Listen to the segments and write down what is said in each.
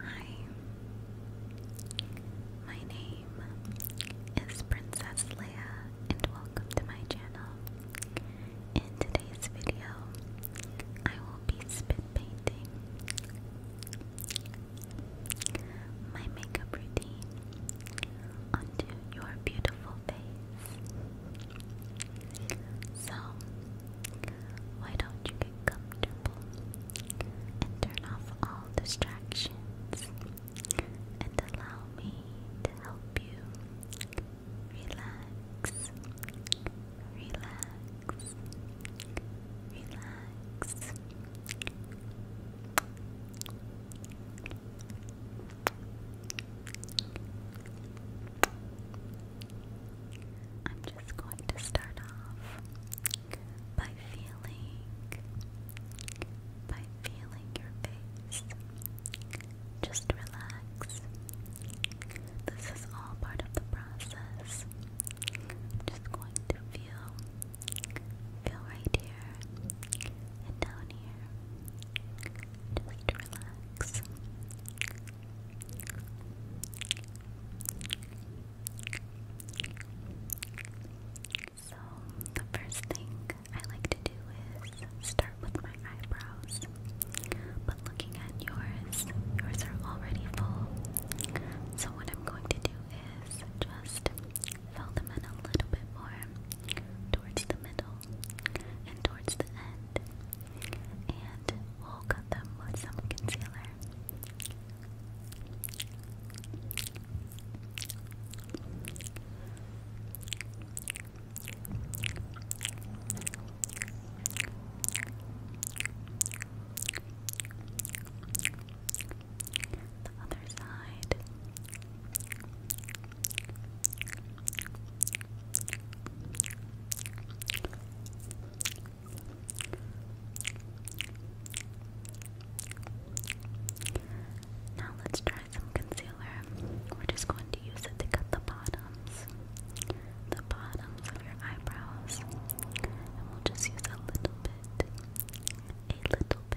Hi, my name is Princess Leia, and welcome to my channel. In today's video, I will be spit painting my makeup routine onto your beautiful face. So, why don't you get comfortable and turn off all distractions and allow me to help you relax, relax, relax? just going to start off by feeling by feeling your face. Just relax. This is all part of the process. I'm just going to feel feel right here and down here. Just relax. So, the first thing I like to do is start with my eyebrows. But looking at yours, yours are already full. So, what I'm going to do is just fill them in a little bit more towards the middle and towards the end and we'll cut them with some concealer. The other side. Now let's try some concealer. We're just going to use it to cut the bottoms, the bottoms of your eyebrows, and we'll just use a little bit, a little bit.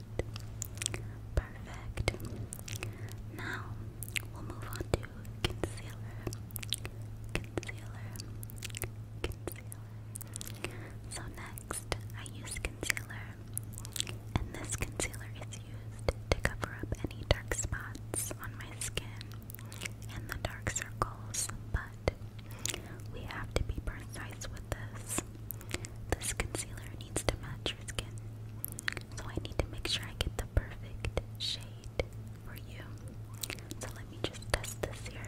Perfect. Now we'll move on to concealer. Concealer. Concealer. So next I use concealer. And this concealer is used to cover up any dark spots on my skin and the dark circles, but we have to be precise with this. This concealer needs to match your skin. So I need to make sure I get the perfect shade for you. So let me just test this here.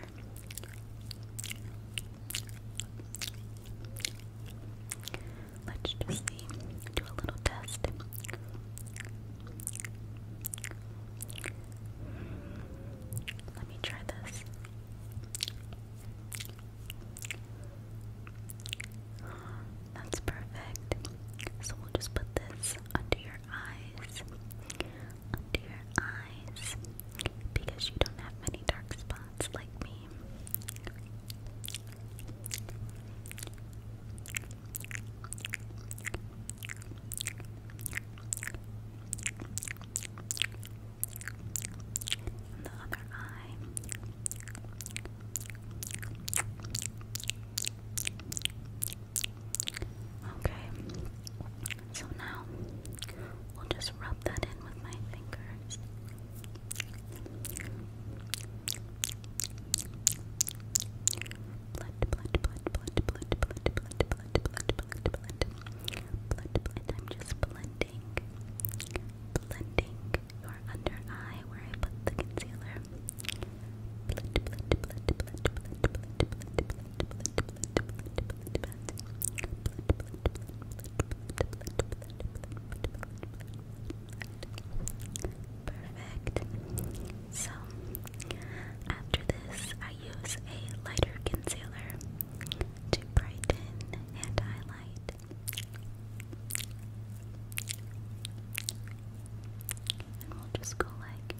Let's just Do a little test. Let me try this. That's perfect. So we'll just put this under your eyes. Under your eyes. Because you don't have many dark spots like me and the other eye. Okay, so now we'll just rub that in with my fingers. Blood, blood, blood, blood, blood, blood, blood, blood, blood, blood, blood, blood, blood. I'm just blending, blending, your under eye where I put the concealer. Perfect. So after this, I use a lighter concealer to brighten and highlight and we'll just go like,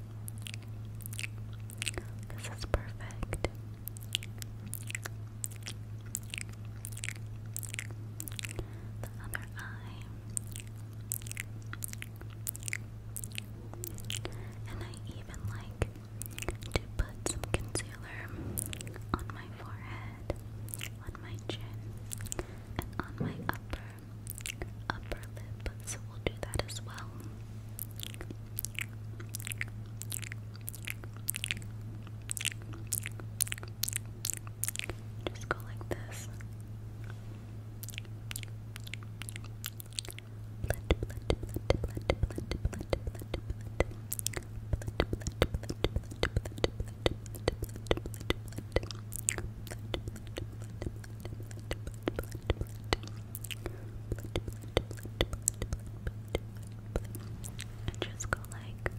this is perfect. The other eye. And I even like to put some concealer on my forehead on my chin, and on my upper upper lip. So we'll do that as well. Just go like this. Blend, blend, blend, blend, blend, blend, blend, blend, blend. And just go like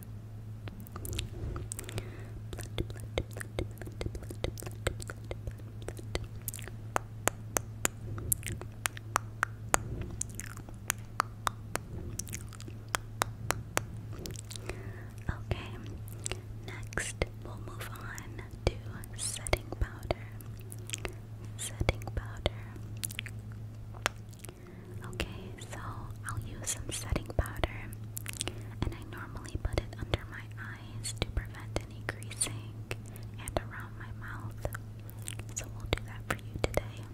Okay, next we'll move on to setting powder. Setting powder. Okay, so I'll use some setting powder, and I normally put it under my eyes to prevent any greasing and around my mouth. So we'll do that for you today.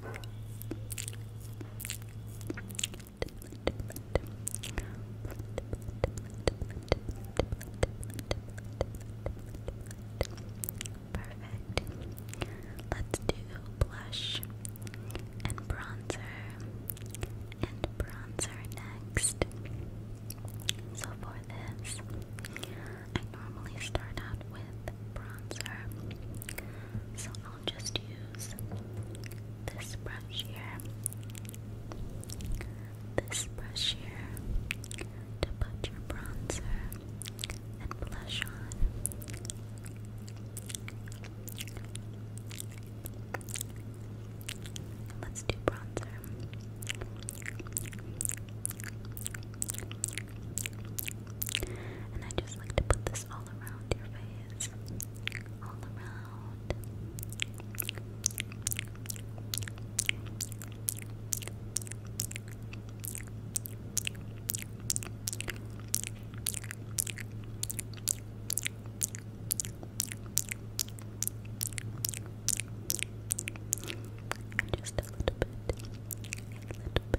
Perfect. Let's do blush and bronzer and bronzer next. So for this, I normally start out with bronzer. So I'll just use this brush here, this brush here to put your bronzer and blush on. Let's do bronzer. And I just like to put this all around your face. All around. Just a little bit, a little bit,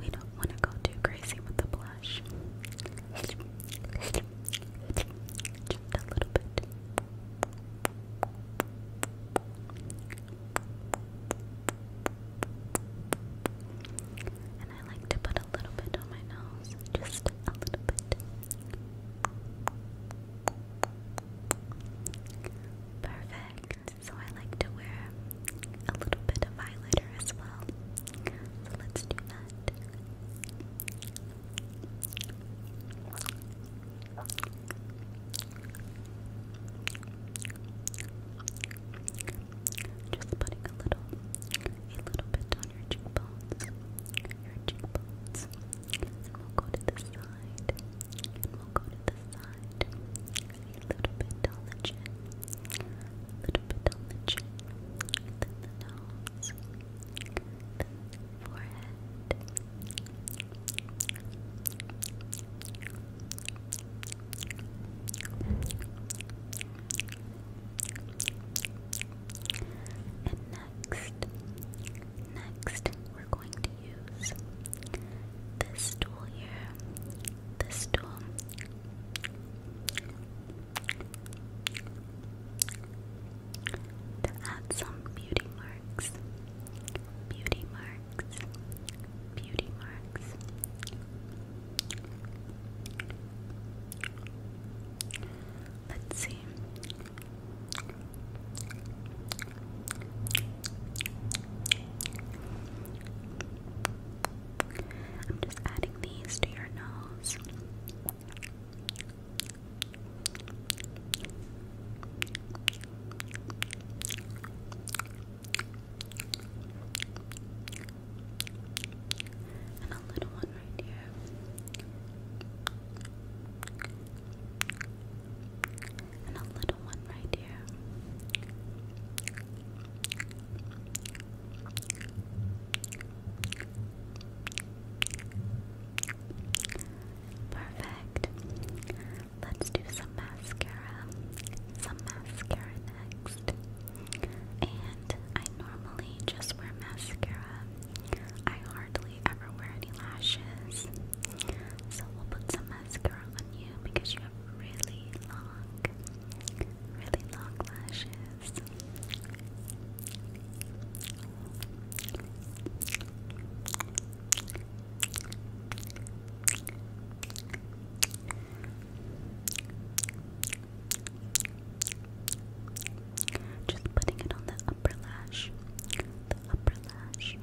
We don't want to go too crazy with the blush. Just a little bit. And I like to put a little bit on my nose, just a little bit. Perfect. So I like to wear a little bit of highlighter as well. So let's do that. Just putting a little, a little bit on your cheekbones, your cheekbones, and we'll go to the side, and we'll go to the side, little bit on the chin, little bit on the chin, then the nose, then the forehead. And next, next we're going to use this tool here this tool. To add some beauty marks, beauty marks, beauty marks. Let's see. I'm just adding these to your nose. And a little one right here. And a little one right here. Perfect. Let's do some mascara. Some mascara next. And I normally just wear mascara. I hardly ever wear any lashes. So we'll put some mascara on you because you have really long really long lashes. Just putting it on the upper lash, the upper lash,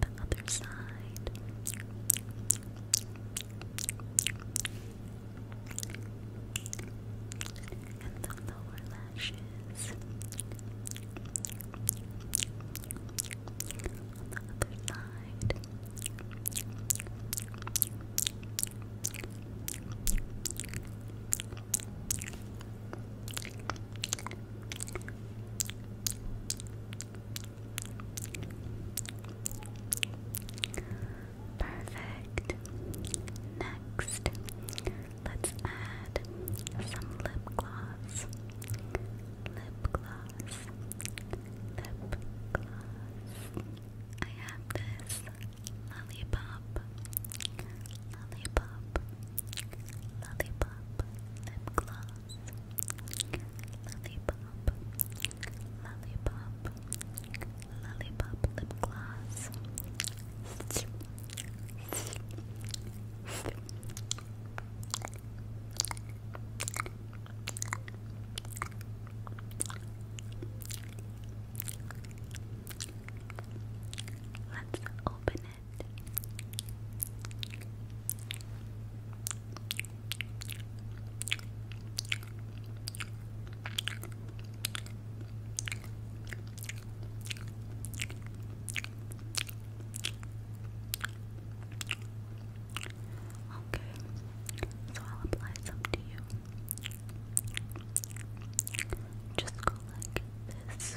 the other side, and the lower lashes the other side. Perfect. Next, let's add some lip gloss. Lip gloss. Lip gloss. I have this lollipop. Lollipop. Lollipop. Lip gloss. Lollipop lollipop, lollipop lip gloss. Let's open it. Okay, so I'll apply some to you. Just go like this.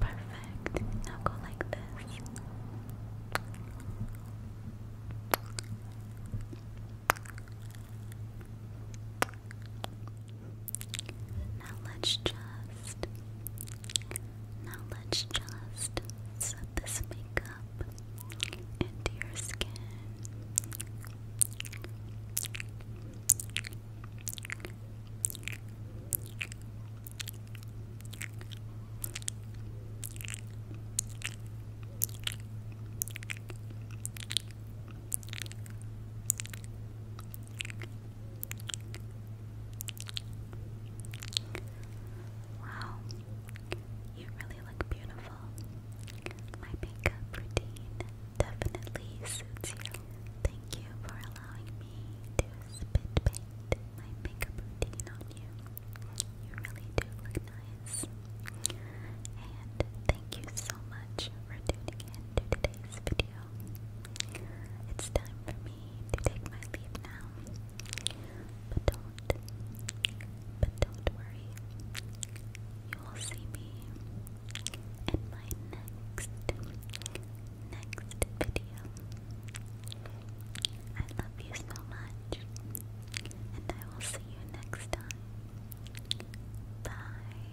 Perfect. Now go like this. Now let's just now let's just set this makeup into your skin. Wow, you really look beautiful. My makeup routine definitely suits you. Thank you for allowing me to spit paint my makeup routine on you. You really do look nice. And thank you so much for tuning in today's video. It's time for me to take my leave now. But don't, but don't worry. You will see me in my next next video. I love you so much, and I will see you next time. Bye.